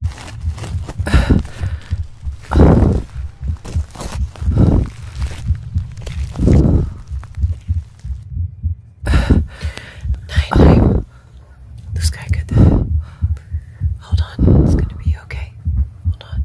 Night. This guy could. Hold on, it's gonna be okay. Hold on.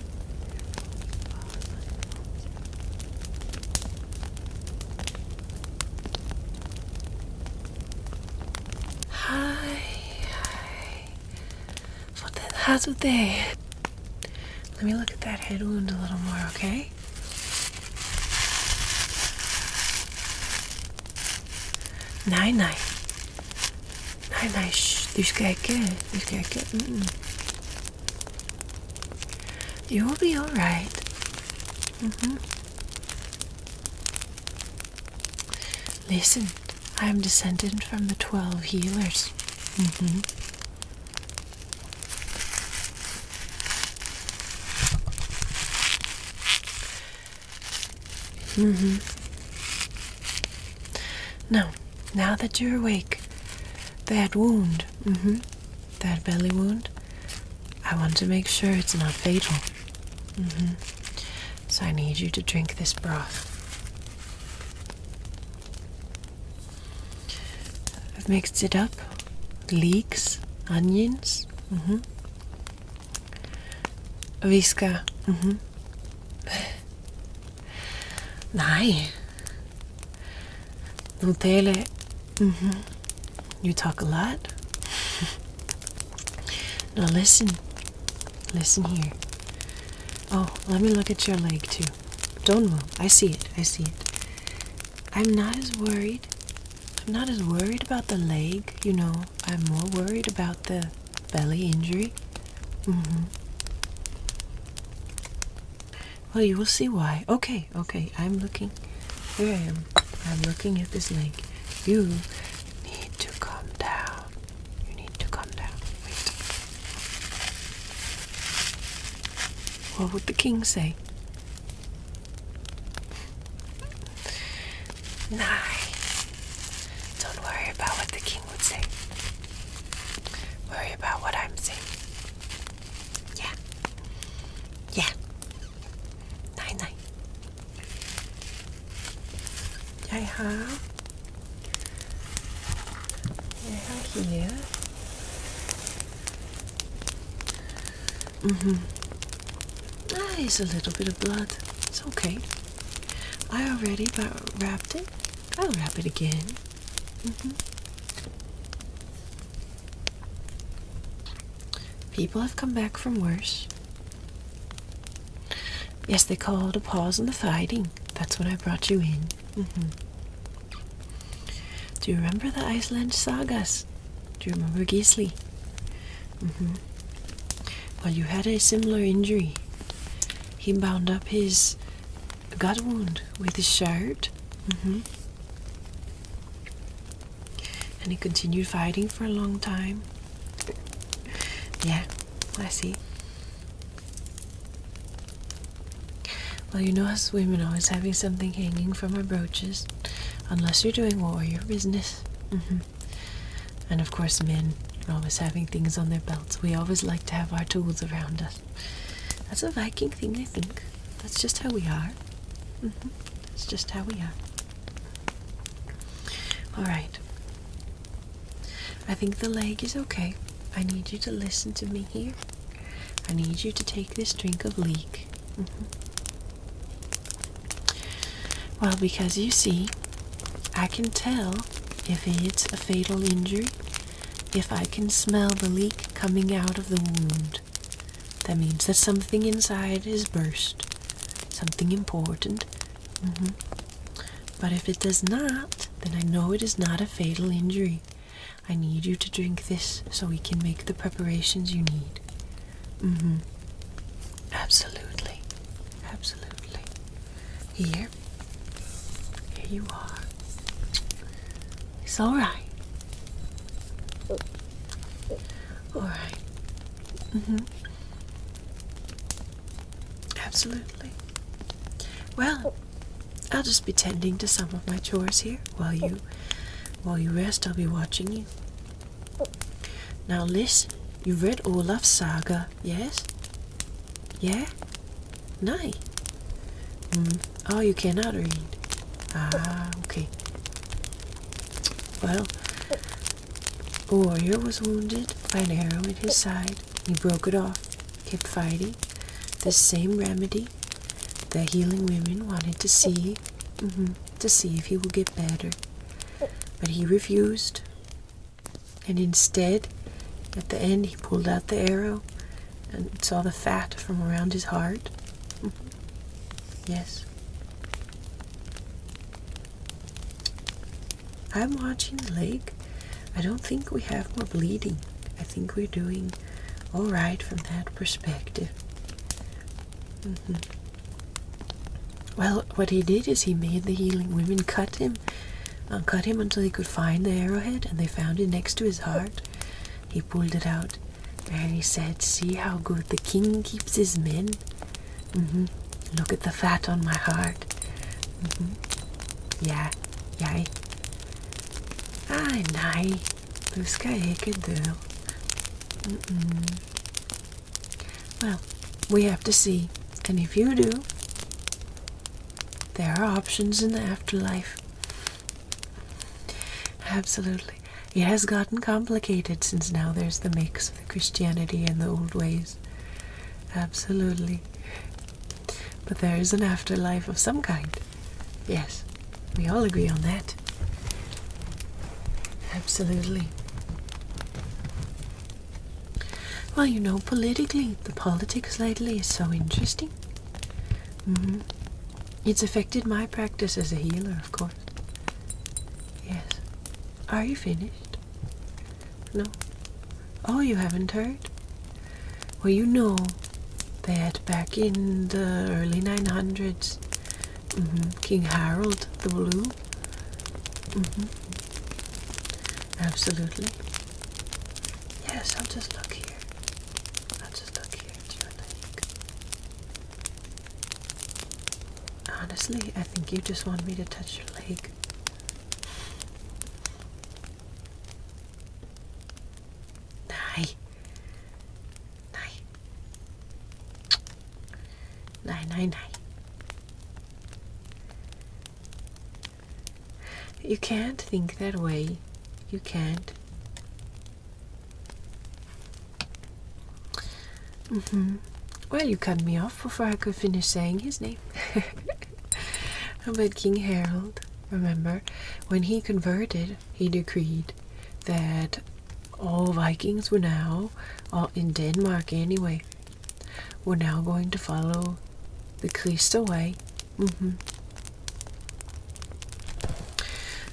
Hi, hi. Fotenhazute. Let me look at that head wound a little more, okay? Nein, nein. Nein, nein, shh. Du ska ikke. Du ska ikke. You will be alright. Mm-hmm. Listen, I am descended from the twelve healers. Mm now that you're awake, that wound, mm-hmm, that belly wound, I want to make sure it's not fatal. Mm-hmm. So I need you to drink this broth. I've mixed it up leeks, onions, mm visca. Nej. Ntele, mm-hmm. you talk a lot. now listen. Listen here. Oh, let me look at your leg too. Don't move. I see it. I see it. I'm not as worried. I'm not as worried about the leg, you know. I'm more worried about the belly injury. Mm-hmm. Well, oh, you will see why. Okay, okay, I'm looking. Here I am. I'm looking at this link. You need to come down. You need to come down. Wait. What would the king say? Nice. Don't worry about what the king would say. Worry about what I'm saying. Yeah. Yeah. Nine nine. I have I have here. Mm-hmm. That ah, is a little bit of blood. It's okay. I already wrapped it. I'll wrap it again. Mm-hmm. People have come back from worse. Yes, they called a pause in the fighting. That's when I brought you in. Mm-hmm. Do you remember the Iceland sagas? Do you remember Gisli? Mm-hmm. Well, you had a similar injury. He bound up his got a wound with his shirt. Mm-hmm. And he continued fighting for a long time. yeah, I see. Well, you know us women always having something hanging from our brooches, unless you're doing warrior business. Mm -hmm. And of course, men are always having things on their belts. We always like to have our tools around us. That's a Viking thing, I think. That's just how we are. Mm That's just how we are. Alright. I think the leg is okay. I need you to listen to me here. I need you to take this drink of leek. Mm-hmm. Well, because you see, I can tell if it's a fatal injury if I can smell the leak coming out of the wound, that means that something inside is burst. Something important. Mm-hmm. But if it does not, then I know it is not a fatal injury. I need you to drink this so we can make the preparations you need. Mm-hmm. Absolutely. Absolutely. Here here you are. It's all right. Mm-hmm. Absolutely. Well, I'll just be tending to some of my chores here while you while you rest. I'll be watching you. Now listen, you read Olaf's saga, yes? Yeah? Nine. Mm, oh, you cannot read. Ah, okay. Well, a warrior was wounded by an arrow in his side. He broke it off, kept fighting. The same remedy the healing women wanted to see, mm-hmm, to see if he would get better. But he refused. And instead, at the end, he pulled out the arrow and saw the fat from around his heart. yes. I'm watching the lake. I don't think we have more bleeding. I think we're doing all right from that perspective. Mm-hmm. Well, what he did is he made the healing women cut him, uh, cut him until he could find the arrowhead, and they found it next to his heart. He pulled it out and he said, See how good the king keeps his men? Mm-hmm. Look at the fat on my heart. Mm Yeah, yeah. Ay, nay. Du ska icke dö. Well, we have to see. And if you do, there are options in the afterlife. Absolutely. It has gotten complicated since now there's the mix of the Christianity and the old ways. Absolutely. But there is an afterlife of some kind. Yes, we all agree on that. Absolutely. Well, you know, politically, the politics lately is so interesting. Mm-hmm. It's affected my practice as a healer, of course. Yes. Are you finished? No. Oh, you haven't heard? Well, you know that back in the early 900s, mm-hmm, King Harold the Blue. Mm-hmm. Absolutely. Yes, I'll just look here. I'll just look here at your leg. Honestly, I think you just want me to touch your leg. Nay. Nay. Nay, nay, nay. You can't think that way. You can't. Mm-hmm. Well, you cut me off before I could finish saying his name. but King Harold, remember, when he converted, he decreed that all Vikings were now, all in Denmark anyway, were now going to follow the Christa way Mm-hmm.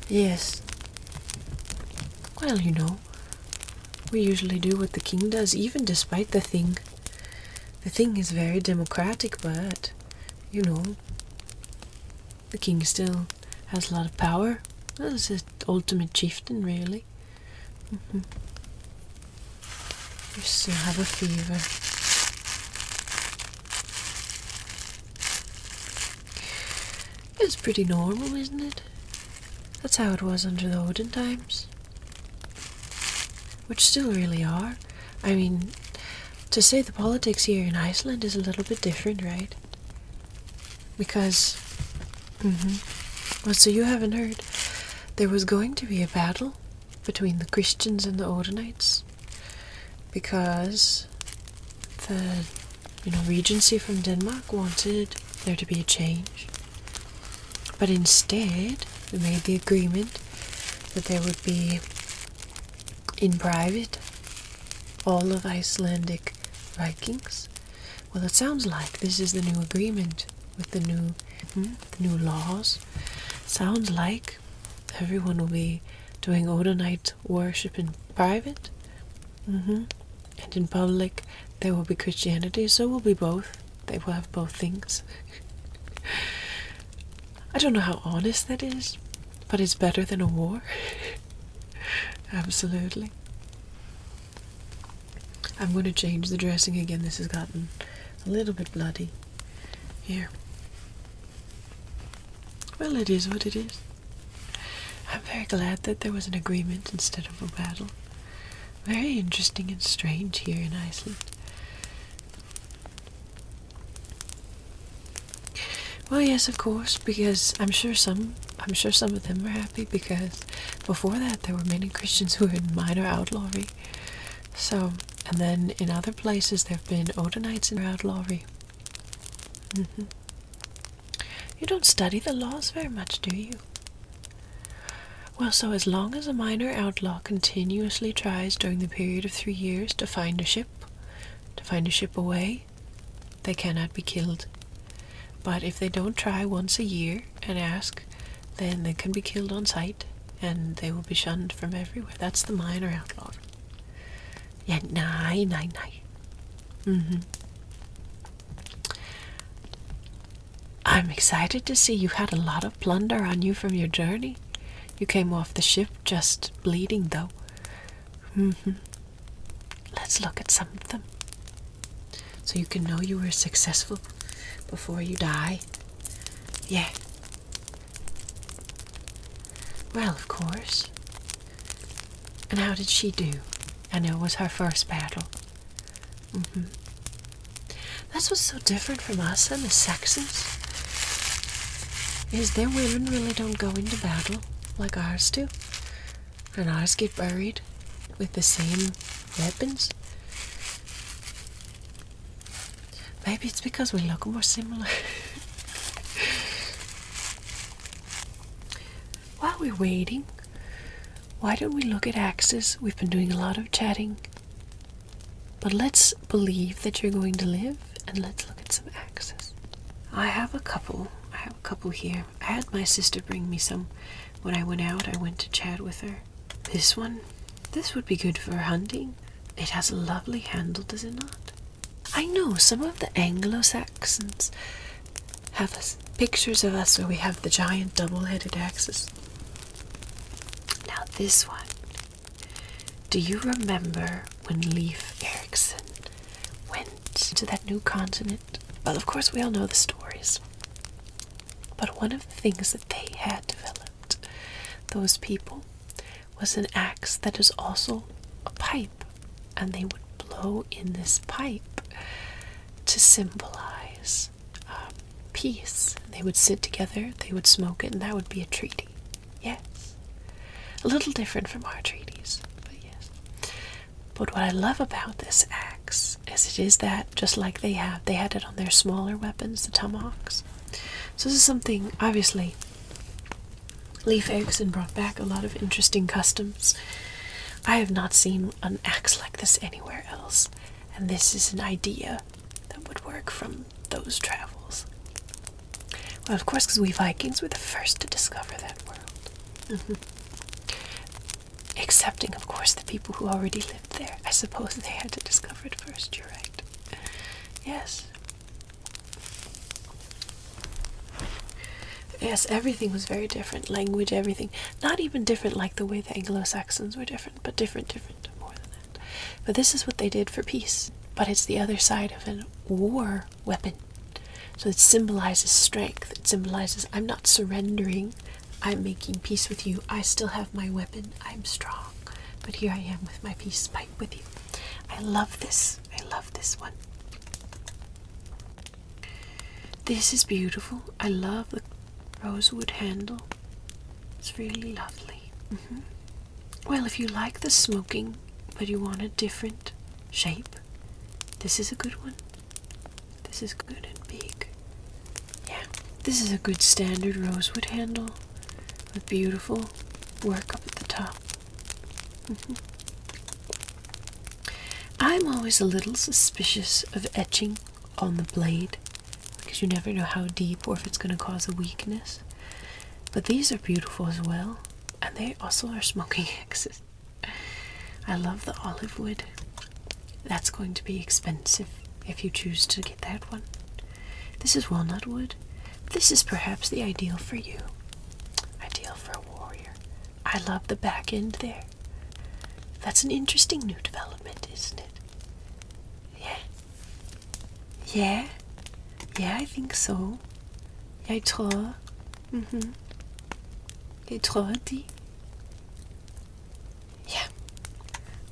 Yes. Well, you know, we usually do what the king does, even despite the thing. The thing is very democratic, but, you know, the king still has a lot of power. That's the ultimate chieftain, really. Mm You still have a fever. It's pretty normal, isn't it? That's how it was under the olden times. Which still really are. I mean, to say the politics here in Iceland is a little bit different, right? Because, mm hmm. Well, so you haven't heard. There was going to be a battle between the Christians and the Ordonites because the you know regency from Denmark wanted there to be a change. But instead, we made the agreement that there would be in private all of Icelandic Vikings. Well, it sounds like this is the new agreement with the new hmm, the new laws. Sounds like everyone will be doing Odinite worship in private. Mm-hmm. And in public, there will be Christianity, so we'll be both. They will have both things. I don't know how honest that is, but it's better than a war. Absolutely. I'm going to change the dressing again. This has gotten a little bit bloody here. Well, it is what it is. I'm very glad that there was an agreement instead of a battle. Very interesting and strange here in Iceland. Well, yes, of course, because I'm sure some I'm sure some of them were happy because before that there were many Christians who were in minor outlawry so, and then in other places there have been Odinites and outlawry. Mm-hmm. You don't study the laws very much, do you? Well, so as long as a minor outlaw continuously tries during the period of three years to find a ship, to find a ship away, they cannot be killed. But if they don't try once a year and ask, then they can be killed on sight and they will be shunned from everywhere. That's the minor outlawry. Yan, nay, nay, nay. Mm -hmm. I'm excited to see you had a lot of plunder on you from your journey. You came off the ship just bleeding, though. Mm -hmm. Let's look at some of them. So you can know you were successful before you die. Yeah, well, of course. And how did she do? I know it was her first battle. Mm hmm. That's what's so different from us and the sexes. Is their women really don't go into battle like ours do. And ours get buried with the same weapons. Maybe it's because we look more similar. While we're waiting, why don't we look at axes? We've been doing a lot of chatting. But let's believe that you're going to live and let's look at some axes. I have a couple. I have a couple here. I had my sister bring me some when I went out. I went to chat with her. This one, this would be good for hunting. It has a lovely handle, does it not? I know some of the Anglo Saxons have pictures of us where we have the giant double headed axes. Now, this one. Do you remember when Leif Ericsson went to that new continent? Well, of course, we all know the stories. But one of the things that they had developed, those people, was an axe that is also a pipe, and they would blow in this pipe to symbolize um, peace. They would sit together, they would smoke it, and that would be a treaty. Yes. A little different from our treaties, but yes. But what I love about this axe is it is that just like they have, they had it on their smaller weapons, the tomahawks. So this is something obviously Leif Erikson brought back a lot of interesting customs. I have not seen an axe like this anywhere else, and this is an idea that would work from those travels. Well, of course, because we Vikings were the first to discover that world. Mm-hmm. Excepting, of course, the people who already lived there. I suppose they had to discover it first, you're right. Yes. Yes, everything was very different. Language, everything. Not even different like the way the Anglo Saxons were different, but different, different, more than that. But this is what they did for peace. But it's the other side of a war weapon. So it symbolizes strength. It symbolizes I'm not surrendering. I'm making peace with you. I still have my weapon. I'm strong. But here I am with my peace pipe with you. I love this. I love this one. This is beautiful. I love the rosewood handle. It's really lovely. Mm-hmm. Well, if you like the smoking but you want a different shape, this is a good one. This is good and big. Yeah, this is a good standard rosewood handle with beautiful work up at the top. Mm-hmm. I'm always a little suspicious of etching on the blade because you never know how deep or if it's going to cause a weakness. But these are beautiful as well, and they also are smoking axes. I love the olive wood. That's going to be expensive if you choose to get that one. This is walnut wood. This is perhaps the ideal for you. Ideal for a warrior. I love the back end there. That's an interesting new development, isn't it? Yeah. Yeah. Yeah, I think so. Jeg tror. Mm-hmm. Jeg tror Yeah.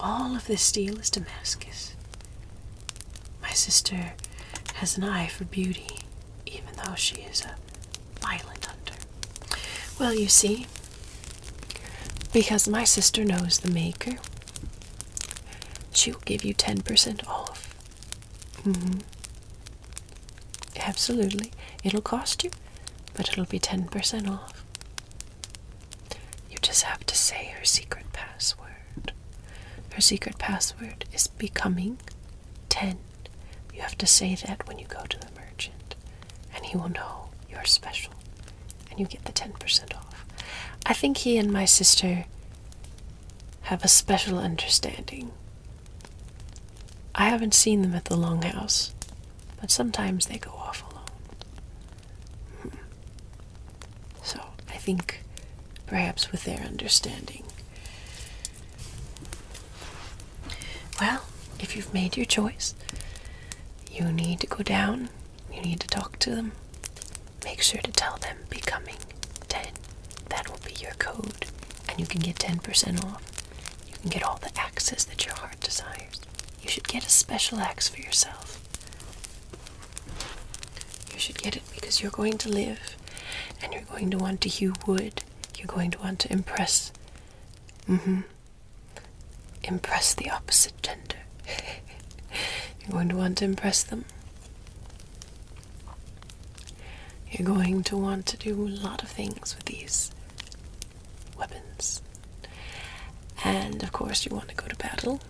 All of this steel is Damascus. My sister has an eye for beauty, even though she is a violent hunter. Well, you see, because my sister knows the maker, she will give you 10% off. Mm-hmm. Absolutely. It'll cost you, but it'll be 10% off. You just have to say her secret password. Her secret password is becoming 10. You have to say that when you go to the merchant, and he will know you're special and you get the 10% off. I think he and my sister have a special understanding. I haven't seen them at the Long House, but sometimes they go off alone. So I think perhaps with their understanding. Well, if you've made your choice, you need to go down, you need to talk to them. Make sure to tell them becoming 10. That will be your code, and you can get 10% off. You can get all the axes that your heart desires. You should get a special axe for yourself. You should get it because you're going to live and you're going to want to hew wood. You're going to want to impress. Mm hmm. Impress the opposite gender. you're going to want to impress them. You're going to want to do a lot of things with these weapons. And of course, you want to go to battle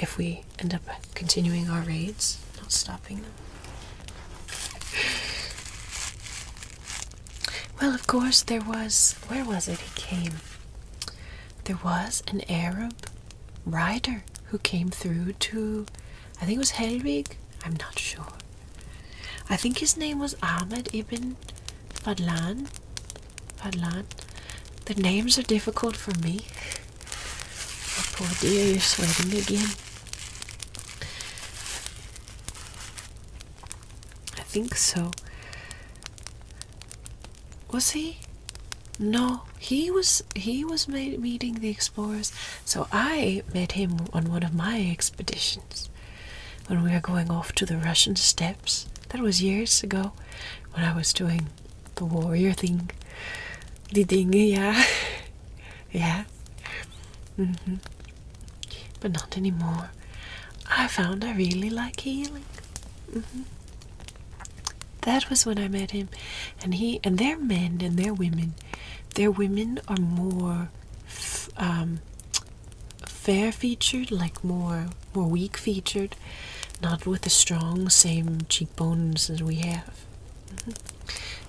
if we end up continuing our raids, not stopping them. Well, of course, there was. Where was it he came? There was an Arab rider who came through to. I think it was Helwig. I'm not sure. I think his name was Ahmed ibn Fadlan. Fadlan. The names are difficult for me. Oh, poor dear, you're sweating again. I think so. Was he? No, he was he was meeting the explorers. So I met him on one of my expeditions when we were going off to the Russian steppes. That was years ago when I was doing the warrior thing. The ding, yeah. yeah. Mm-hmm. But not anymore. I found I really like healing. Mm-hmm. That was when I met him, and he and their men and their women, their women are more um, fair featured, like more more weak featured, not with the strong same cheekbones as we have. Mm -hmm.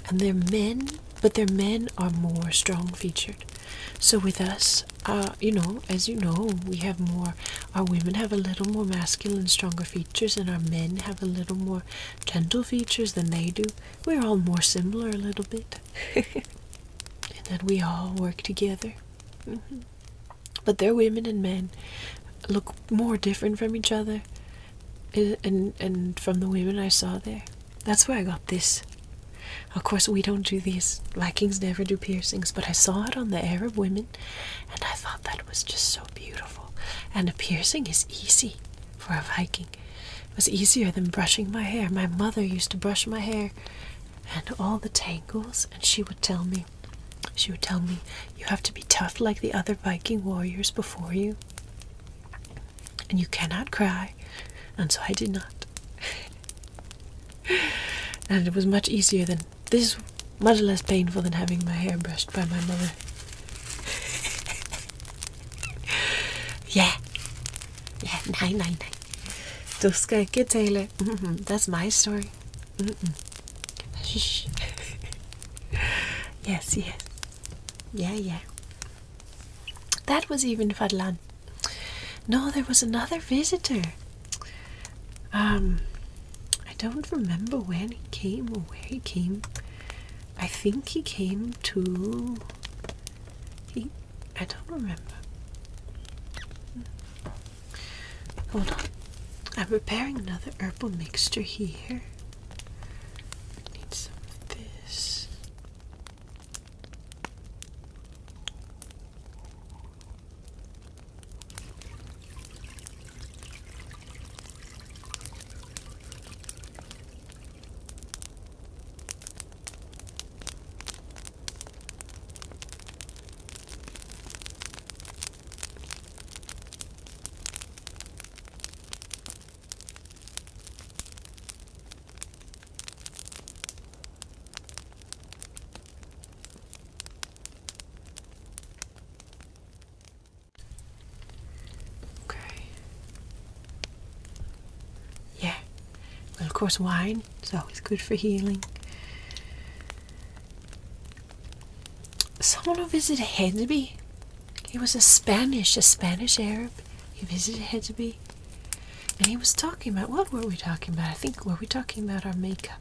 And their men, but their men are more strong featured. So with us, uh, you know, as you know, we have more. Our women have a little more masculine, stronger features, and our men have a little more gentle features than they do. We're all more similar a little bit, and then we all work together. Mm-hmm but their women and men look more different from each other and and from the women I saw there. That's where I got this. Of course, we don't do these. Vikings never do piercings, but I saw it on the Arab women, and I thought that was just so beautiful. And a piercing is easy for a Viking. It was easier than brushing my hair. My mother used to brush my hair and all the tangles, and she would tell me, she would tell me, You have to be tough like the other Viking warriors before you, and you cannot cry. And so I did not. and it was much easier than this, much less painful than having my hair brushed by my mother. yeah. Yeah, nine, nine, nine. Duska Kitale. Mm-hmm, that's my story. Mm Shh. yes, yes. Yeah, yeah. That was even Fadlan. No, there was another visitor. Um, I don't remember when he came or where he came. I think he came to. He, I don't remember. Hold on. I'm preparing another herbal mixture here. need some of this. Okay. Yeah. Well, of course, wine is always good for healing. Someone who visited Hedeby. He was a Spanish, a Spanish Arab. He visited Hedeby. And he was talking about what were we talking about? I think were we talking about our makeup?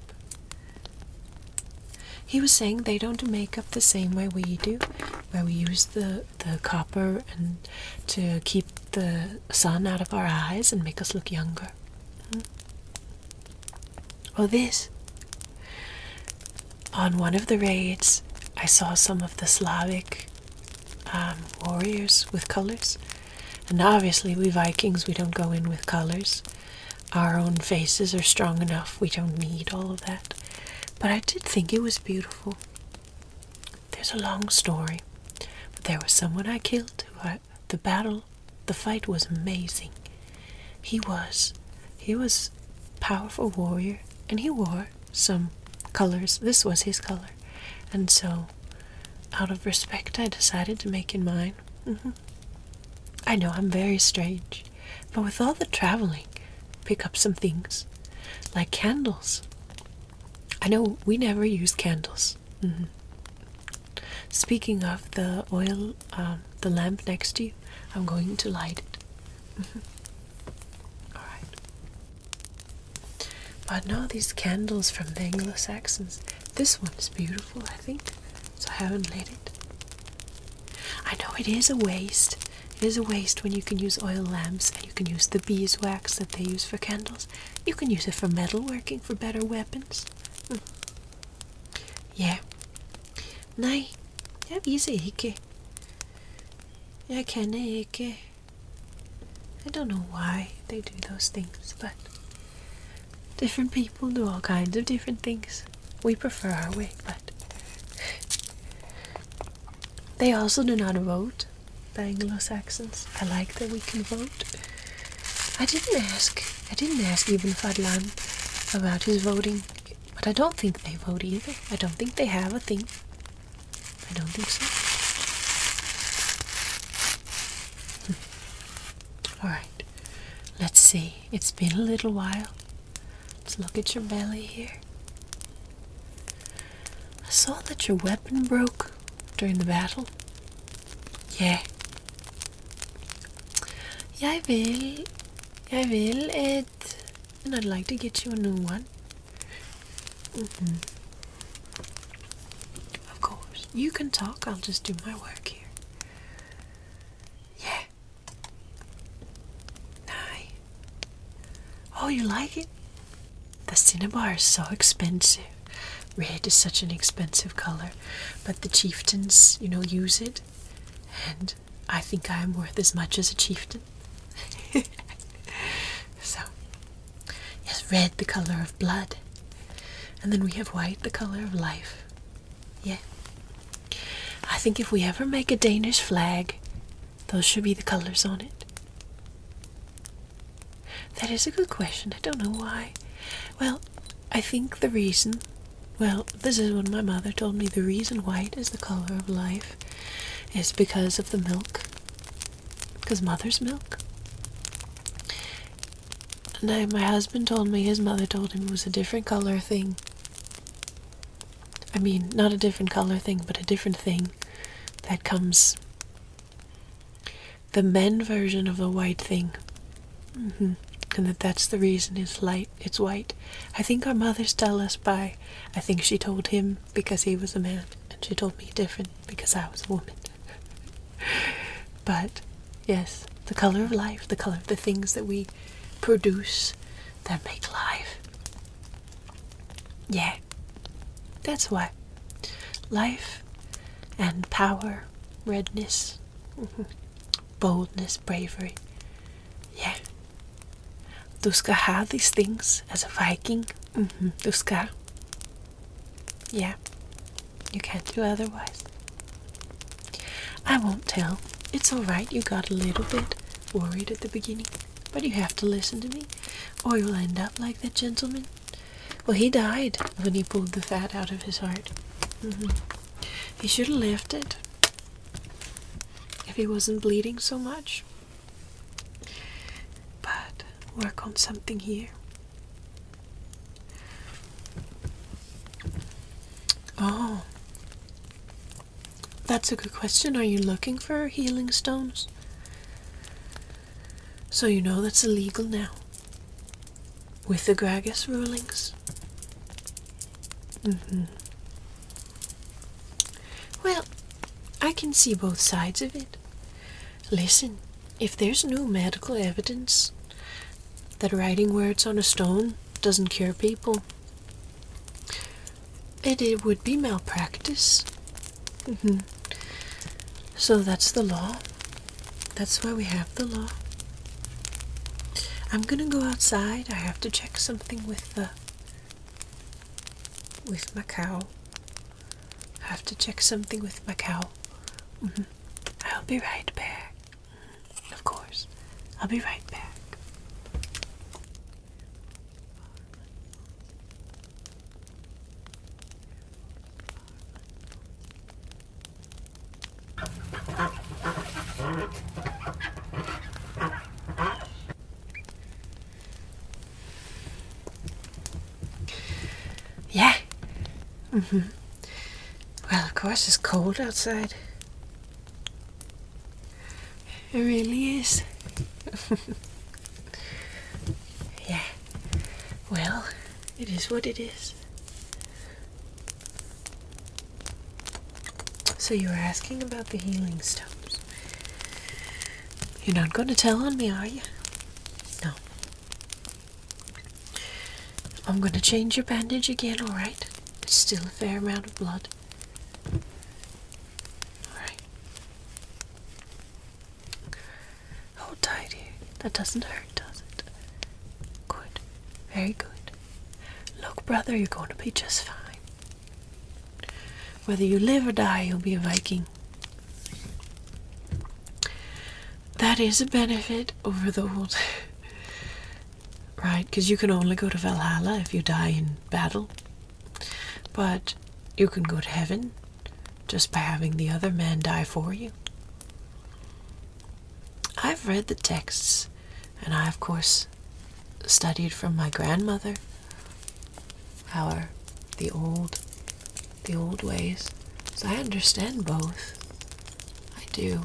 He was saying they don't make up the same way we do, where we use the the copper and to keep the sun out of our eyes and make us look younger. Hmm? Oh, this. On one of the raids, I saw some of the Slavic um, warriors with colors. And obviously, we Vikings, we don't go in with colors. Our own faces are strong enough, we don't need all of that. But I did think it was beautiful. There's a long story, but there was someone I killed who the battle the fight was amazing. He was he was powerful warrior and he wore some colors. This was his color. And so out of respect I decided to make it mine. Mm-hmm. I know I'm very strange, but with all the traveling, pick up some things like candles. I know we never use candles. Mm-hmm. Speaking of the oil um, the lamp next to you, I'm going to light it. All right. But now these candles from the Anglo Saxons. This one is beautiful, I think. So I haven't lit it. I know it is a waste. It is a waste when you can use oil lamps and you can use the beeswax that they use for candles. You can use it for metalworking for better weapons. Hmm. Yeah. Nej, jag viser er ikke. Jeg kan ikke. I don't know why they do those things, but different people do all kinds of different things. We prefer our way, but they also do not vote, the Anglo Saxons. I like that we can vote. I didn't ask I didn't ask even Fadlan about his voting, but I don't think they vote either. I don't think they have a thing. I don't think so. Hmm. All right, let's see. It's been a little while. Let's look at your belly here. I saw that your weapon broke during the battle. Yeah, I will. I will. It. And I'd like to get you a new one. Mm-hmm. Of course. You can talk. I'll just do my work here. Yeah. Aye. Oh, you like it? The cinnabar is so expensive. Red is such an expensive color, but the chieftains, you know, use it and I think I am worth as much as a chieftain. so, yes, red the color of blood, and then we have white the color of life. Yes, I think if we ever make a Danish flag, those should be the colors on it. That is a good question. I don't know why. Well, I think the reason well, this is what my mother told me. The reason white is the color of life is because of the milk. Because mother's milk. Now, my husband told me his mother told him it was a different color thing. I mean, not a different color thing, but a different thing that comes. The men version of the white thing Mm -hmm. And that that's the reason it's light, it's white. I think our mothers tell us by, I think she told him because he was a man, and she told me different because I was a woman. but yes, the color of life, the color of the things that we produce that make life. Yeah, that's why. Life and power, redness, Mm-hmm. Boldness, bravery. Yeah. Du ska have these things as a Viking. Mm -hmm. Du ska. Yeah. You can't do otherwise. I won't tell. It's alright. You got a little bit worried at the beginning. But you have to listen to me, or you'll end up like that gentleman. Well, he died when he pulled the fat out of his heart. Mm -hmm. He should have left it if he wasn't bleeding so much. But work on something here. Oh, that's a good question. Are you looking for healing stones? So you know that's illegal now with the Gragas rulings. Mm-hmm. Well, I can see both sides of it. Listen, if there's no medical evidence that writing words on a stone doesn't cure people, it, would be malpractice. Mm-hmm. So that's the law. That's why we have the law. I'm gonna go outside. I have to check something with the with my cow. I have to check something with my cow. Mm-hmm. I'll be right back. Mm-hmm. Of course, I'll be right back. Yeah. hmm Well, of course, it's cold outside. It really is. yeah. Well, it is what it is. So you were asking about the healing stones. You're not going to tell on me, are you? No. I'm going to change your bandage again, alright? It's still a fair amount of blood. Alright. Hold tight here. That doesn't hurt, does it? Good. Very good. Look, brother, you're going to be just fine. Whether you live or die, you'll be a Viking. That is a benefit over the old. right? Because you can only go to Valhalla if you die in battle. But you can go to heaven just by having the other man die for you. I've read the texts and I, of course, studied from my grandmother our the old the old ways. So I understand both. I do.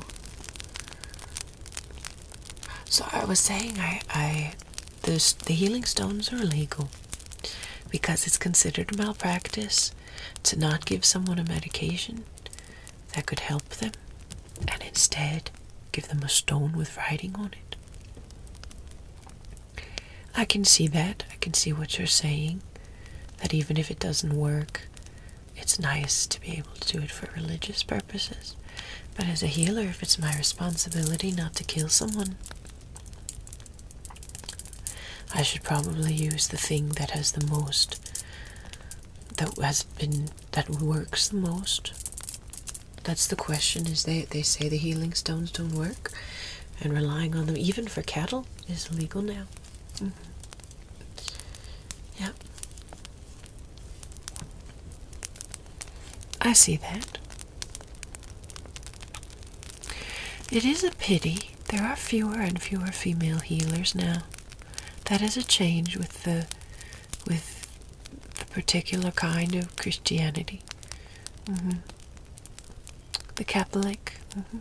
So I was saying I I the healing stones are illegal because it's considered malpractice to not give someone a medication that could help them and instead give them a stone with writing on it. I can see that. I can see what you're saying. That even if it doesn't work, it's nice to be able to do it for religious purposes. But as a healer, if it's my responsibility not to kill someone, I should probably use the thing that has the most, that has been that works the most? That's the question. Is they they say the healing stones don't work, and relying on them even for cattle is illegal now. Mm-hmm. Yeah, I see that. It is a pity there are fewer and fewer female healers now. That is a change with the with the particular kind of Christianity. Mm-hmm. The Catholic. Mm-hmm.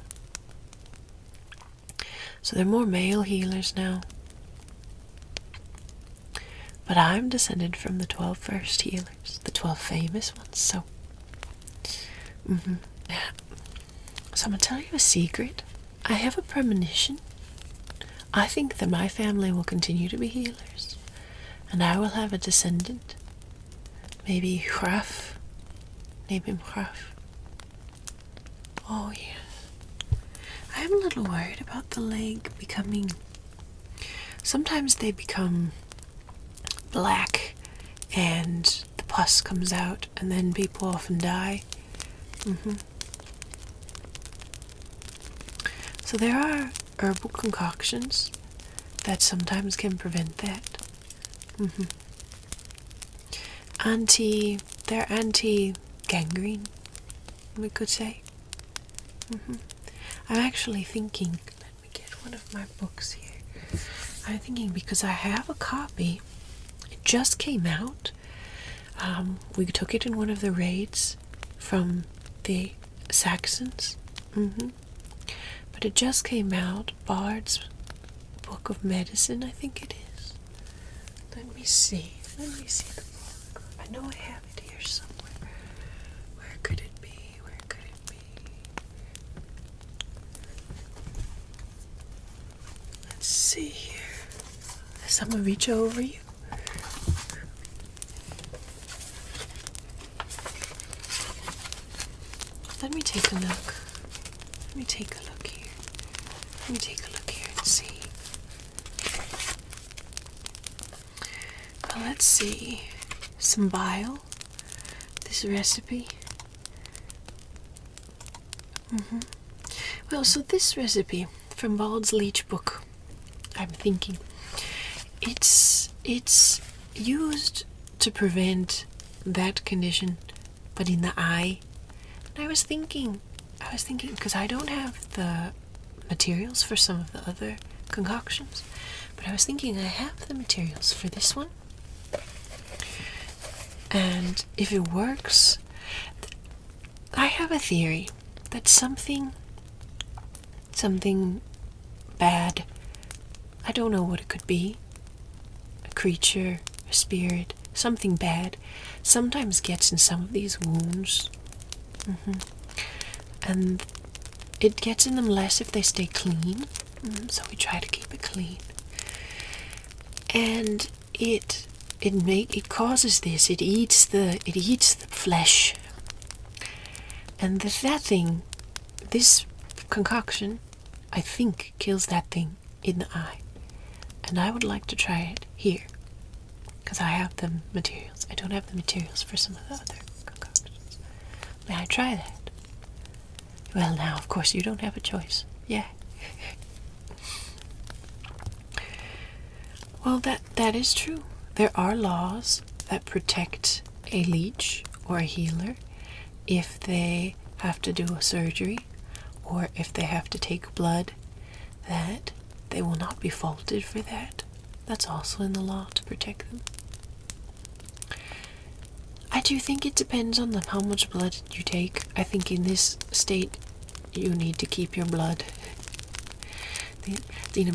So they are more male healers now. But I'm descended from the 12 first healers, the 12 famous ones, so. Mm So I'm gonna tell you a secret. I have a premonition. I think that my family will continue to be healers, and I will have a descendant. Maybe Hraf. Name him Hraf. Oh, yes. I am a little worried about the leg becoming. Sometimes they become black and the pus comes out, and then people often die. Mm-hmm. So there are herbal concoctions that sometimes can prevent that. Mm-hmm. Anti, they're anti-gangrene, we could say. Mm-hmm. I'm actually thinking. Let me get one of my books here. I'm thinking because I have a copy. It just came out um, we took it in one of the raids from the Saxons. Mm-hmm. But it just came out, Bard's Book of Medicine, I think it is. Let me see. Let me see the book. I know I have it here somewhere. Where could it be? Where could it be? Let's see here. Does someone reach over you? Let me take a look. Let me take a look here. Let me take a look here and see. Well, let's see. Some bile. This recipe. Mm-hmm. Well, so this recipe from Bald's Leech Book, I'm thinking, it's it's used to prevent that condition, but in the eye. And I was thinking, I was thinking because I don't have the materials for some of the other concoctions, but I was thinking I have the materials for this one. And if it works, I have a theory that something something bad I don't know what it could be a creature, a spirit, something bad sometimes gets in some of these wounds mm-hmm. and it gets in them less if they stay clean mm, so we try to keep it clean and it it make it causes this it eats the it eats the flesh and that thing this concoction i think kills that thing in the eye and i would like to try it here because i have the materials i don't have the materials for some of the other concoctions may i try that well now of course you don't have a choice yeah Well, that that is true. There are laws that protect a leech or a healer if they have to do a surgery or if they have to take blood that they will not be faulted for that. That's also in the law to protect them. I do think it depends on how much blood you take. I think in this state you need to keep your blood. Het is een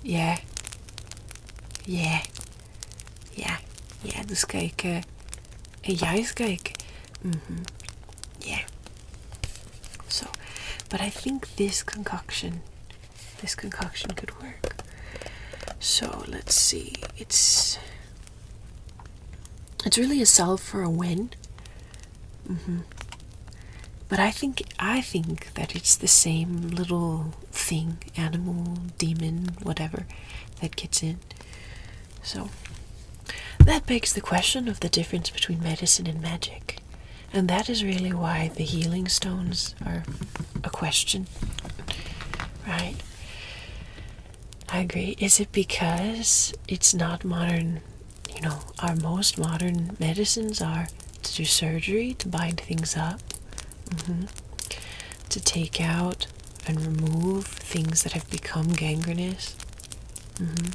yeah, yeah, yeah, Ja. Ja, dus kijk. Uh, juist Mm -hmm. Yeah. So, but I think this concoction, this concoction could work. So let's see. It's it's really a solve for a win. Mm-hmm. But I think I think that it's the same little thing, animal, demon, whatever, that gets in. So that begs the question of the difference between medicine and magic. And that is really why the healing stones are a question. Right? I agree. Is it because it's not modern you know, our most modern medicines are to do surgery, to bind things up, mm-hmm, to take out and remove things that have become gangrenous. Mm-hmm.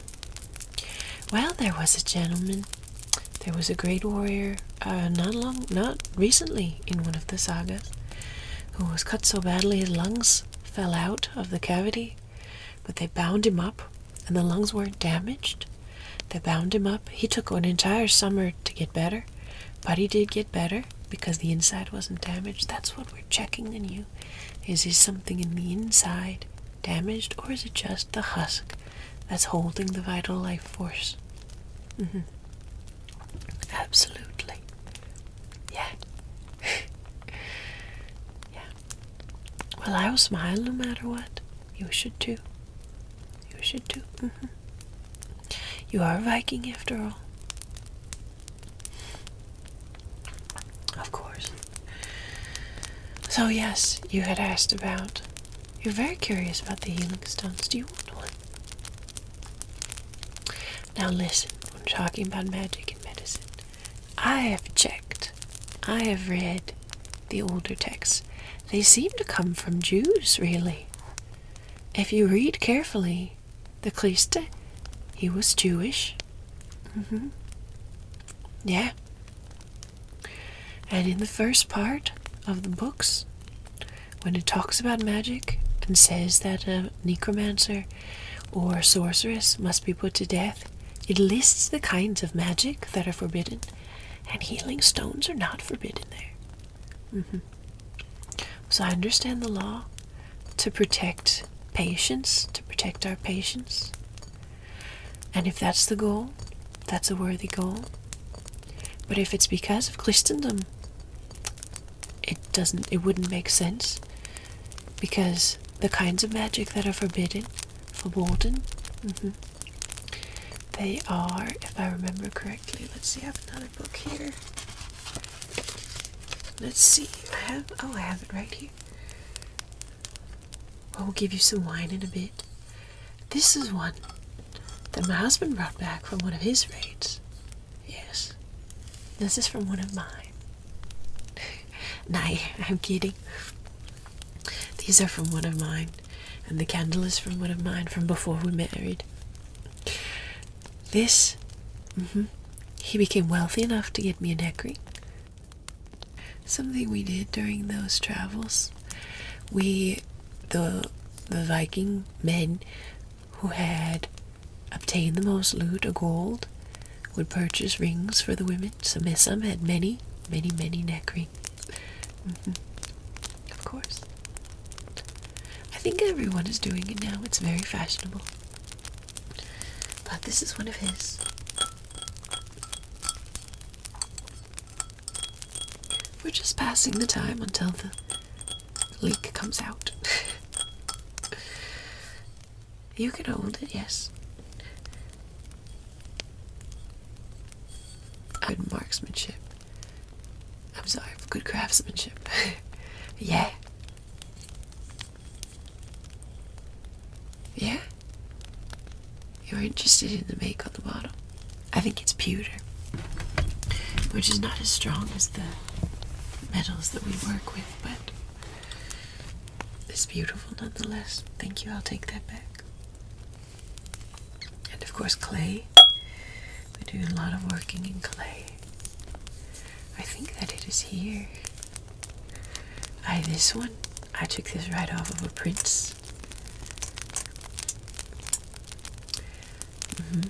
Well, there was a gentleman, there was a great warrior, uh, not long, not recently in one of the sagas, who was cut so badly his lungs fell out of the cavity but they bound him up, and the lungs weren't damaged. They bound him up. He took an entire summer to get better, but he did get better because the inside wasn't damaged. That's what we're checking in you. Is there something in the inside damaged, or is it just the husk that's holding the vital life force? Mm-hmm. Absolutely. Yeah. yeah. Well, I'll smile no matter what. You should too. You should too. Mm-hmm. You are a Viking after all. Of course. So, yes, you had asked about. You're very curious about the healing stones. Do you want one? Now, listen, We're talking about magic and medicine. I have checked. I have read the older texts. They seem to come from Jews, really. If you read carefully, the Christe, he was Jewish. Mm -hmm. Yeah. And in the first part of the books, when it talks about magic and says that a necromancer or sorceress must be put to death, it lists the kinds of magic that are forbidden, and healing stones are not forbidden there. Mm-hmm. So I understand the law to protect patients, to protect our patients. And if that's the goal, that's a worthy goal. But if it's because of Christendom, it doesn't it wouldn't make sense because the kinds of magic that are forbidden, forbidden. Mm They are, if I remember correctly, let's see, I have another book here. Let's see, I have, oh, I have it right here. I will give you some wine in a bit. This is one that my husband brought back from one of his raids. Yes, this is from one of mine nay, I'm kidding. These are from one of mine, and the candle is from one of mine from before we married. This, mm-hmm, he became wealthy enough to get me a neck ring. Something we did during those travels, we, the the Viking men, who had obtained the most loot or gold, would purchase rings for the women it. Some, some had many, many, many neck rings. Mm-hmm. Of course. I think everyone is doing it now. It's very fashionable. But this is one of his. We're just passing the time until the leak comes out. You can hold it, yes. Good marksmanship. I'm sorry, good craftsmanship. yeah. Yeah? You're interested in the make on the bottom? I think it's pewter, which is not as strong as the metals that we work with, but it's beautiful nonetheless. Thank you, I'll take that back. And of course, clay. We do a lot of working in clay. I think that it is here. I this one. I took this right off of a prince. Mm -hmm.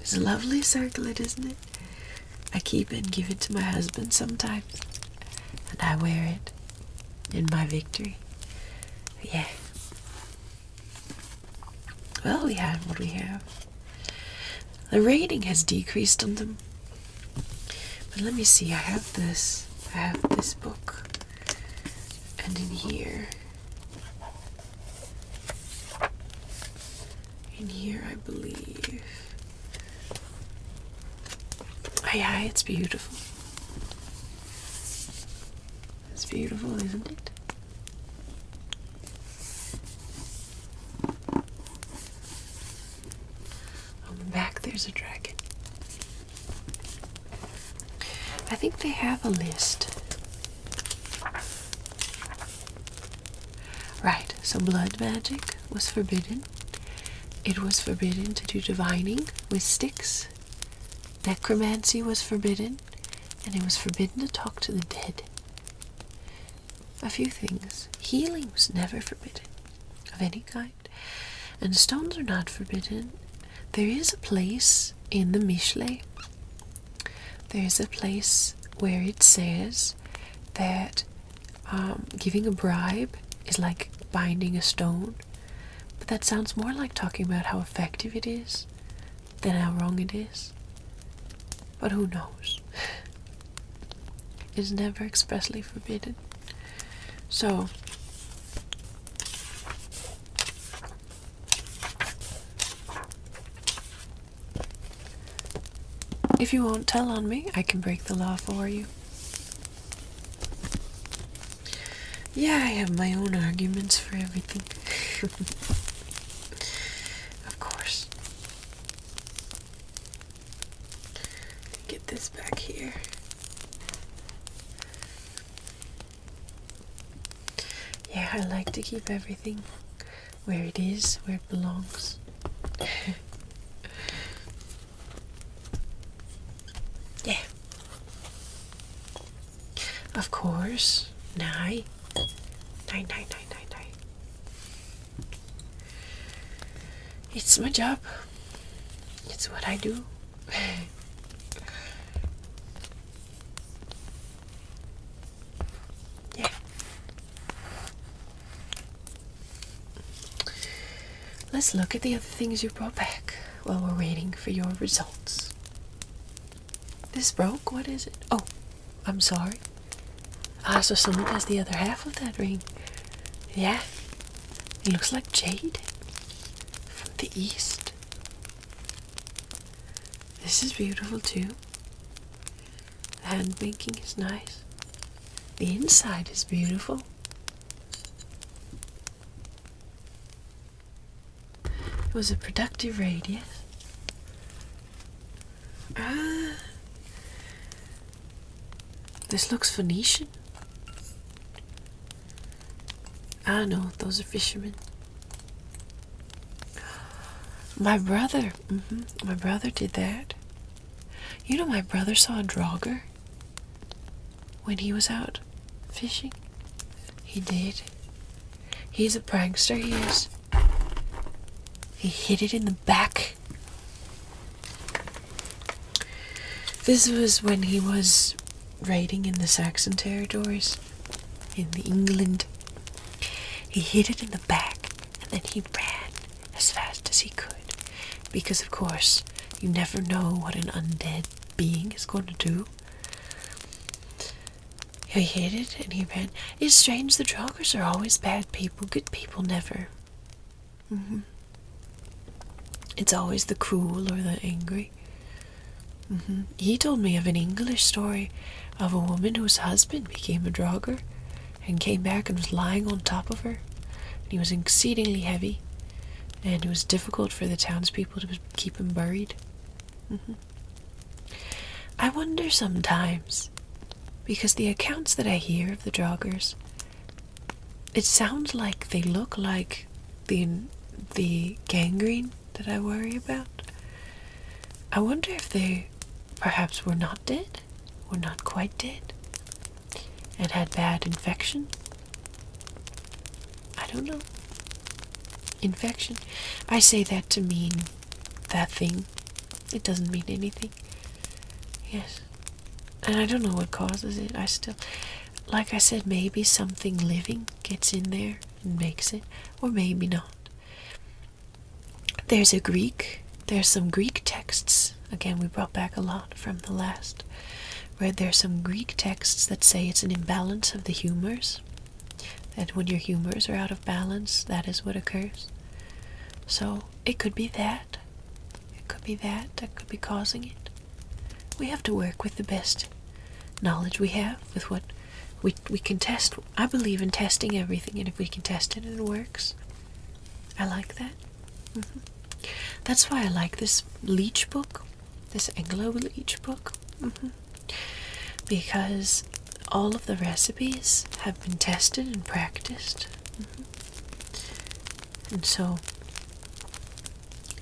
It's a lovely circlet, isn't it? I keep and give it to my husband sometimes, and I wear it in my victory. Yeah. Well, we have what we have. The rating has decreased on them. But let me see, I have this. I have this book. And in here in here, I believe. Oh, yeah, it's beautiful. It's beautiful, isn't it? On the back, there's a dragon. I think they have a list. Right, so blood magic was forbidden. It was forbidden to do divining with sticks. Necromancy was forbidden, and it was forbidden to talk to the dead. A few things. Healing was never forbidden of any kind, and stones are not forbidden. There is a place in the Mishle, there is a place where it says that um, giving a bribe is like binding a stone, but that sounds more like talking about how effective it is than how wrong it is. But who knows? It's never expressly forbidden. So, if you won't tell on me, I can break the law for you. Yeah, I have my own arguments for everything. of course. Get this back here. Yeah, I like to keep everything where it is, where it belongs. yeah. Of course. Nine. Nine, nine, nine, nine, nine. It's my job. It's what I do. yeah. Let's look at the other things you brought back while we're waiting for your results. This broke? What is it? Oh, I'm sorry. Ah, so someone has the other half of that ring. Yeah, it looks like jade from the east. This is beautiful too. The hand making is nice. The inside is beautiful. It was a productive radius. Ah, this looks Phoenician. Ah, no, those are fishermen. My brother Mm-hmm. My brother did that. You know, my brother saw a drogger when he was out fishing. He did. He's a prankster, he is. He hit it in the back. This was when he was raiding in the Saxon territories in the England. He hit it in the back and then he ran as fast as he could, because of course you never know what an undead being is going to do. He hid it and he ran. It's strange, the joggers are always bad people, good people never. Mm-hmm. It's always the cruel or the angry. Mm-hmm. He told me of an English story of a woman whose husband became a drogger and came back and was lying on top of her. And he was exceedingly heavy, and it was difficult for the townspeople to keep him buried. Mm-hmm. I wonder sometimes, because the accounts that I hear of the joggers, it sounds like they look like the the gangrene that I worry about. I wonder if they perhaps were not dead were not quite dead and had bad infection. I don't know. Infection. I say that to mean that thing. It doesn't mean anything. Yes. And I don't know what causes it. I still. Like I said, maybe something living gets in there and makes it, or maybe not. There's a Greek. There's some Greek texts. Again, we brought back a lot from the last. Where there's some Greek texts that say it's an imbalance of the humors. That when your humors are out of balance, that is what occurs. So it could be that. It could be that that could be causing it. We have to work with the best knowledge we have, with what we, we can test. I believe in testing everything, and if we can test it and it works, I like that. Mm-hmm. That's why I like this leech book, this Anglo leech book, mm-hmm. because all of the recipes have been tested and practiced. Mm-hmm. And so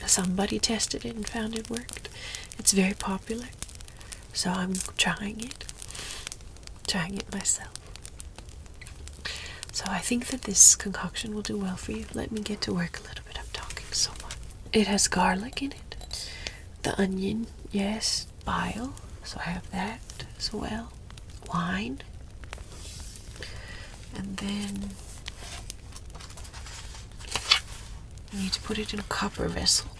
somebody tested it and found it worked. It's very popular, so I'm trying it trying it myself. So I think that this concoction will do well for you. Let me get to work a little bit. I'm talking so much. It has garlic in it, the onion, yes, bile. So I have that as well. Wine. And then I need to put it in a copper vessel.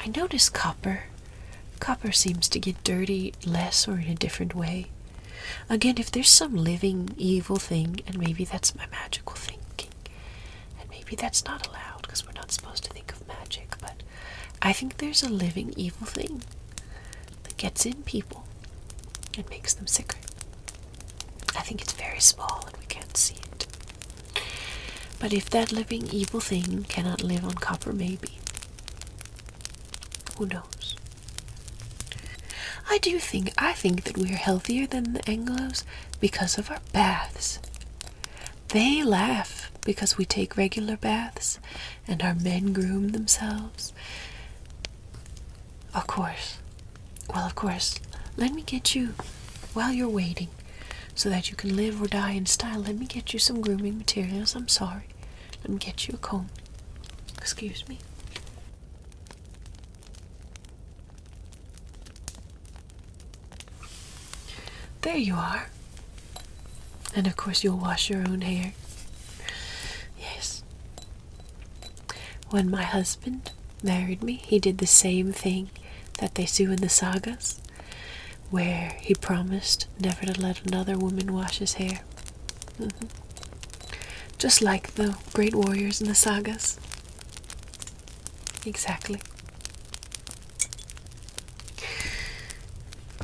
I notice copper Copper seems to get dirty less or in a different way. Again, if there's some living evil thing, and maybe that's my magical thinking, and maybe that's not allowed because we're not supposed to think of magic, but I think there's a living evil thing that gets in people and makes them sick. I think it's very small and we can't see it. But if that living evil thing cannot live on copper, maybe who knows? I do think I think that we're healthier than the Anglos because of our baths. They laugh because we take regular baths and our men groom themselves. Of course. Well, of course. Let me get you while you're waiting so that you can live or die in style. Let me get you some grooming materials. I'm sorry cupboard and get you a comb. Excuse me. There you are. And of course, you'll wash your own hair. Yes. When my husband married me, he did the same thing that they do in the sagas where he promised never to let another woman wash his hair. Mm-hmm. Just like the great warriors in the sagas. Exactly.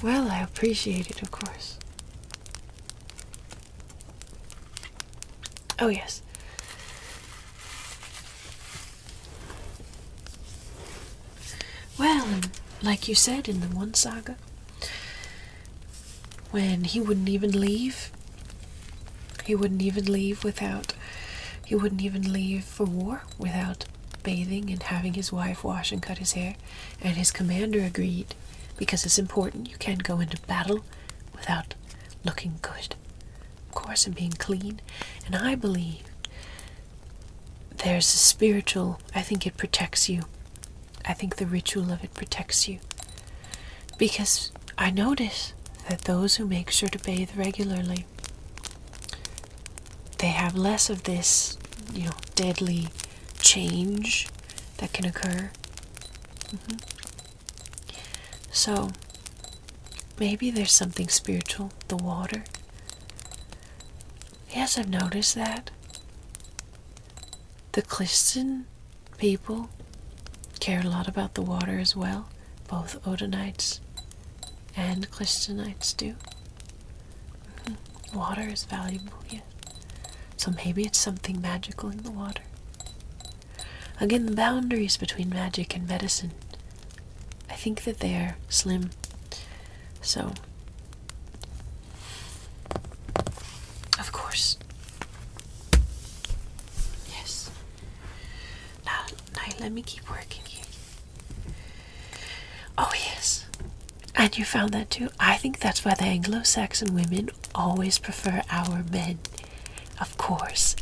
Well, I appreciate it, of course. Oh, yes. Well, and like you said in the one saga, when he wouldn't even leave, he wouldn't even leave without, he wouldn't even leave for war without bathing and having his wife wash and cut his hair. And his commander agreed because it's important. You can't go into battle without looking good, of course, and being clean. And I believe there's a spiritual, I think it protects you. I think the ritual of it protects you. Because I notice that those who make sure to bathe regularly they have less of this, you know, deadly change that can occur. Mm-hmm. So maybe there's something spiritual, the water. Yes, I've noticed that. The Clifton people cared a lot about the water as well. Both Odinites and Clistonites do. Mm-hmm. Water is valuable, yeah. So maybe it's something magical in the water. Again, the boundaries between magic and medicine, I think that they are slim. So of course. Yes. Now, now let me keep working here. Oh, yes. And you found that too? I think that's why the Anglo Saxon women always prefer our men. Of course.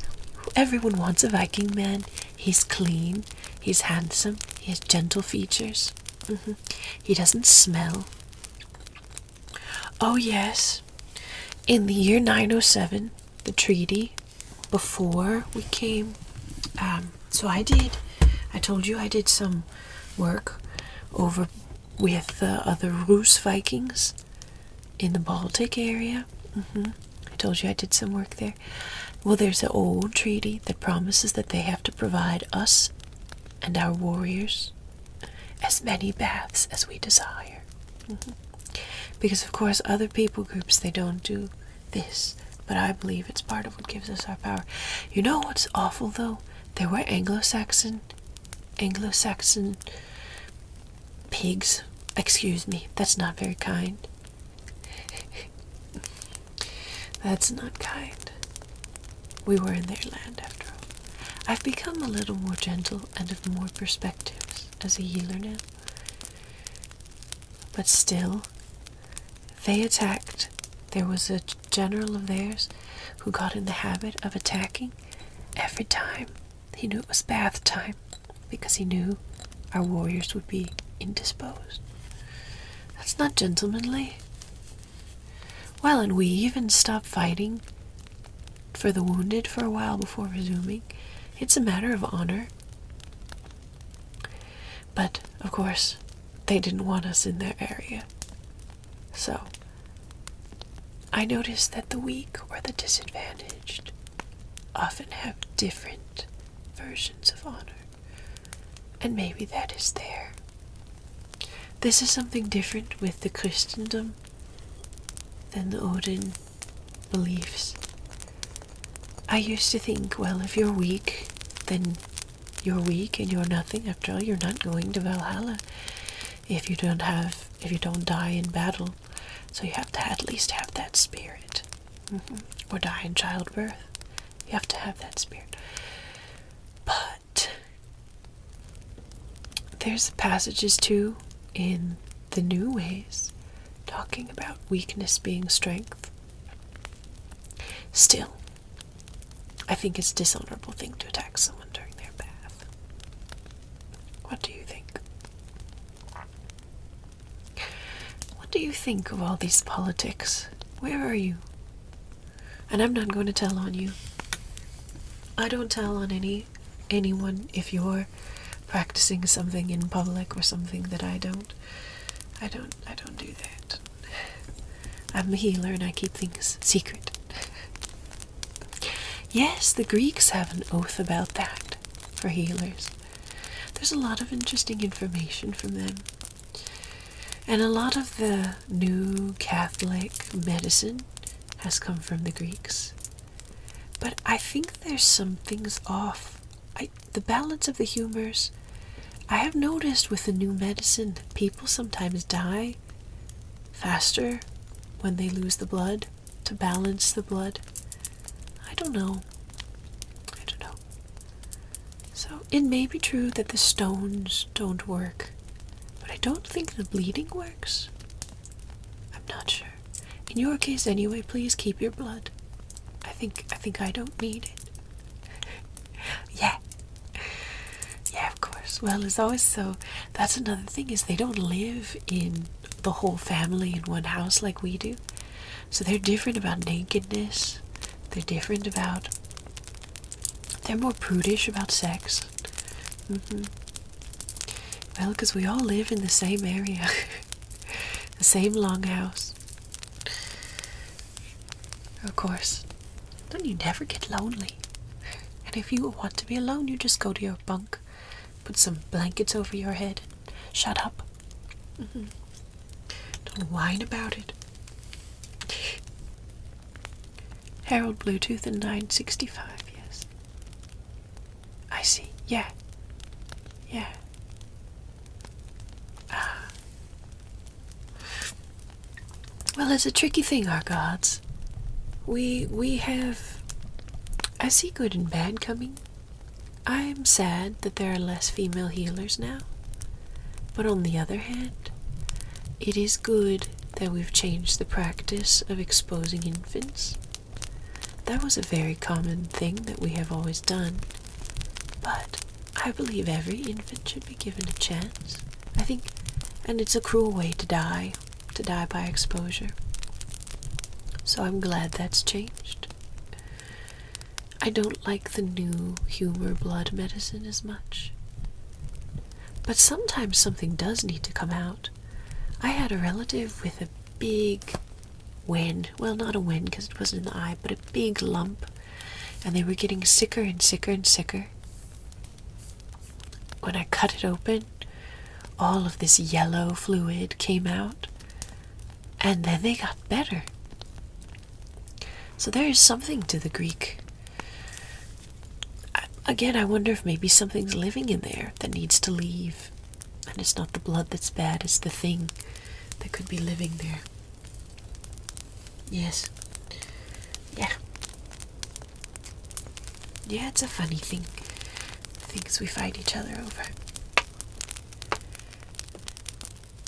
Everyone wants a Viking man. He's clean, he's handsome, he has gentle features. Mm-hmm. He doesn't smell. Oh, yes. In the year 907, the treaty before we came. Um, so I did. I told you I did some work over with the other Rus Vikings in the Baltic area. Mm-hmm. I told you I did some work there. Well, there's an old treaty that promises that they have to provide us and our warriors as many baths as we desire. Mm-hmm. Because, of course, other people groups, they don't do this. But I believe it's part of what gives us our power. You know what's awful, though? There were Anglo-Saxon, Anglo-Saxon pigs. Excuse me, that's not very kind. That's not kind. We were in their land after all. I've become a little more gentle and of more perspectives as a healer now. But still, they attacked. There was a general of theirs who got in the habit of attacking every time he knew it was bath time because he knew our warriors would be indisposed. That's not gentlemanly. Well, and we even stopped fighting for the wounded for a while before resuming. It's a matter of honor. But, of course, they didn't want us in their area. So, I noticed that the weak or the disadvantaged often have different versions of honor and maybe that is there. This is something different with the Christendom than the Odin beliefs. I used to think, well, if you're weak, then you're weak and you're nothing. After all, you're not going to Valhalla if you don't have if you don't die in battle. So you have to at least have that spirit, mm-hmm. or die in childbirth. You have to have that spirit. But there's passages too in the new ways talking about weakness being strength. Still, I think it's a dishonorable thing to attack someone during their bath. What do you think? What do you think of all these politics? Where are you? And I'm not going to tell on you. I don't tell on any anyone if you're practicing something in public or something that I don't. I don't I don't do that. I'm a healer and I keep things secret. yes, the Greeks have an oath about that for healers. There's a lot of interesting information from them. And a lot of the new Catholic medicine has come from the Greeks. But I think there's some things off. I, the balance of the humors. I have noticed with the new medicine, people sometimes die faster when they lose the blood to balance the blood. I don't know. I don't know. So it may be true that the stones don't work, but I don't think the bleeding works. I'm not sure. In your case anyway, please keep your blood. I think I think I don't need it. yeah. Yeah, of course. Well, as always so. That's another thing is they don't live in the whole family in one house like we do. So they're different about nakedness. They're different about. They're more prudish about sex. Mm Well, because we all live in the same area, the same longhouse. Of course, then you never get lonely. And if you want to be alone, you just go to your bunk, put some blankets over your head, shut up. Mm-hmm. Don't whine about it. Harold Bluetooth and 965, yes. I see, yeah. Yeah. Ah. Well, it's a tricky thing, our gods. We we have I see good and bad coming. I'm sad that there are less female healers now. But on the other hand, it is good that we've changed the practice of exposing infants. That was a very common thing that we have always done. But I believe every infant should be given a chance. I think, and it's a cruel way to die, to die by exposure. So I'm glad that's changed. I don't like the new humor blood medicine as much. But sometimes something does need to come out. I had a relative with a big wen well, not a wen because it wasn't an eye, but a big lump, and they were getting sicker and sicker and sicker. When I cut it open, all of this yellow fluid came out, and then they got better. So there is something to the Greek. again, I wonder if maybe something's living in there that needs to leave. And it's not the blood that's bad, it's the thing that could be living there. Yes. Yeah. Yeah, it's a funny thing. Things we fight each other over.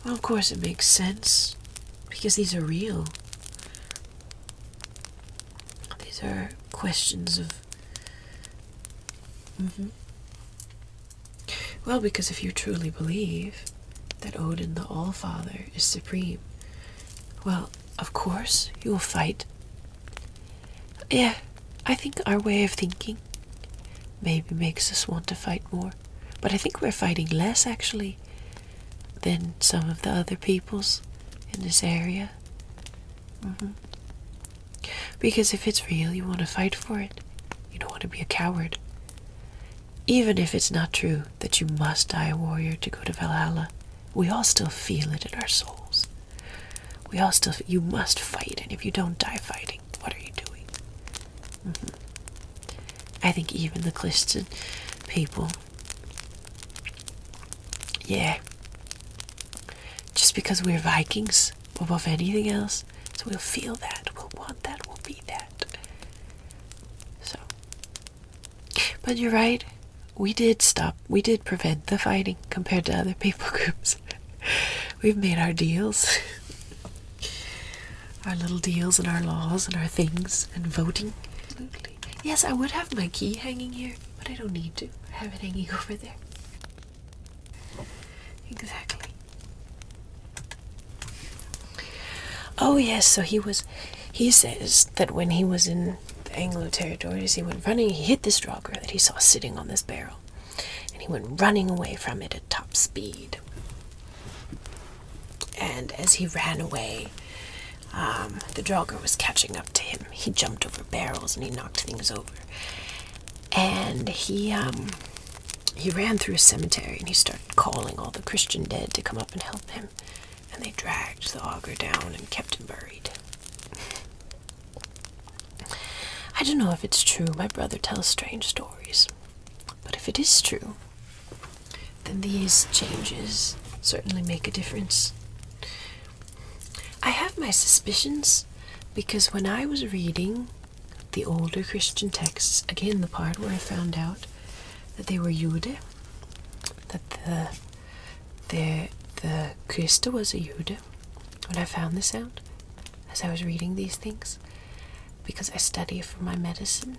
Well, of course, it makes sense because these are real. These are questions of. Mm-hmm. Well, because if you truly believe that Odin the All Father is supreme, well, of course, you will fight. Yeah, I think our way of thinking maybe makes us want to fight more but I think we're fighting less actually than some of the other peoples in this area. Mm-hmm. Because if it's real, you want to fight for it. You don't want to be a coward. Even if it's not true that you must die a warrior to go to Valhalla, we all still feel it in our souls. We all still, you must fight, and if you don't die fighting, what are you doing? Mm-hmm. I think even the Clifton people, yeah, just because we're Vikings above anything else, so we'll feel that, we'll want that, we'll be that. So, but you're right, we did stop, we did prevent the fighting compared to other people groups. We've made our deals. our little deals and our laws and our things and voting. Yes, I would have my key hanging here, but I don't need to. have it hanging over there. Exactly. Oh yes, so he was he says that when he was in the Anglo territories he went running, he hit this draugr that he saw sitting on this barrel. And he went running away from it top speed. And as he ran away, um, the dogger was catching up to him. He jumped over barrels and he knocked things over. And he um, he ran through a cemetery and he started calling all the Christian dead to come up and help him. And they dragged the auger down and kept him buried. I don't know if it's true. My brother tells strange stories. But if it is true, then these changes certainly make a difference. I have my suspicions because when I was reading the older Christian texts, again, the part where I found out that they were Jude, that the, the, the Christa was a Jude, when I found this out as I was reading these things, because I study for my medicine,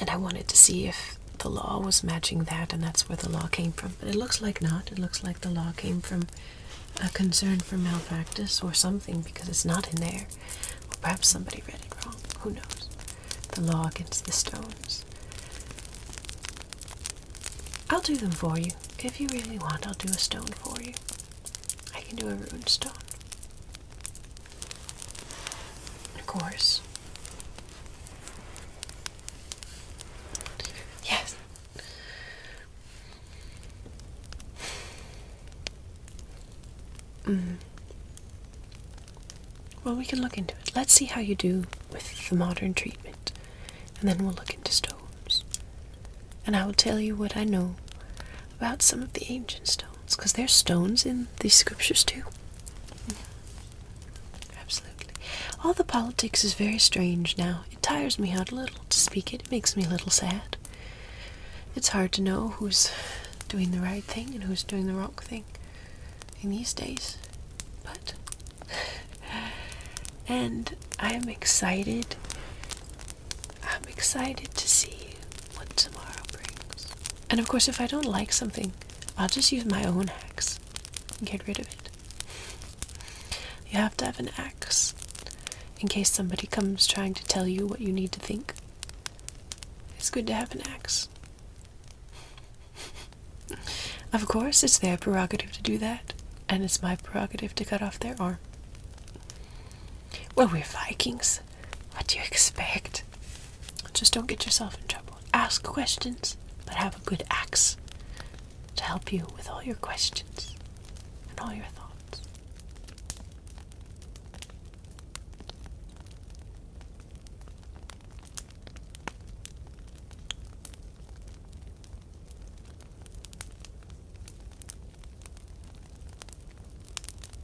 and I wanted to see if the law was matching that, and that's where the law came from. But it looks like not. It looks like the law came from a concern for malpractice or something because it's not in there. Or perhaps somebody read it wrong. Who knows? The law against the stones. I'll do them for you. If you really want, I'll do a stone for you. I can do a ruined stone. Of course. Yes. Mm. Well, we can look into it. Let's see how you do with the modern treatment, and then we'll look into stones. And I will tell you what I know about some of the ancient stones because there's stones in these scriptures too. Absolutely. All the politics is very strange now. It tires me out a little to speak it. It makes me a little sad. It's hard to know who's doing the right thing and who's doing the wrong thing in these days. But and I'm excited I'm excited to see what tomorrow brings. And of course, if I don't like something, I'll just use my own axe and get rid of it. You have to have an axe in case somebody comes trying to tell you what you need to think. It's good to have an axe. of course, it's their prerogative to do that, and it's my prerogative to cut off their arm. Well, we're Vikings. What do you expect? Just don't get yourself in trouble. Ask questions, but have a good axe to help you with all your questions and all your thoughts.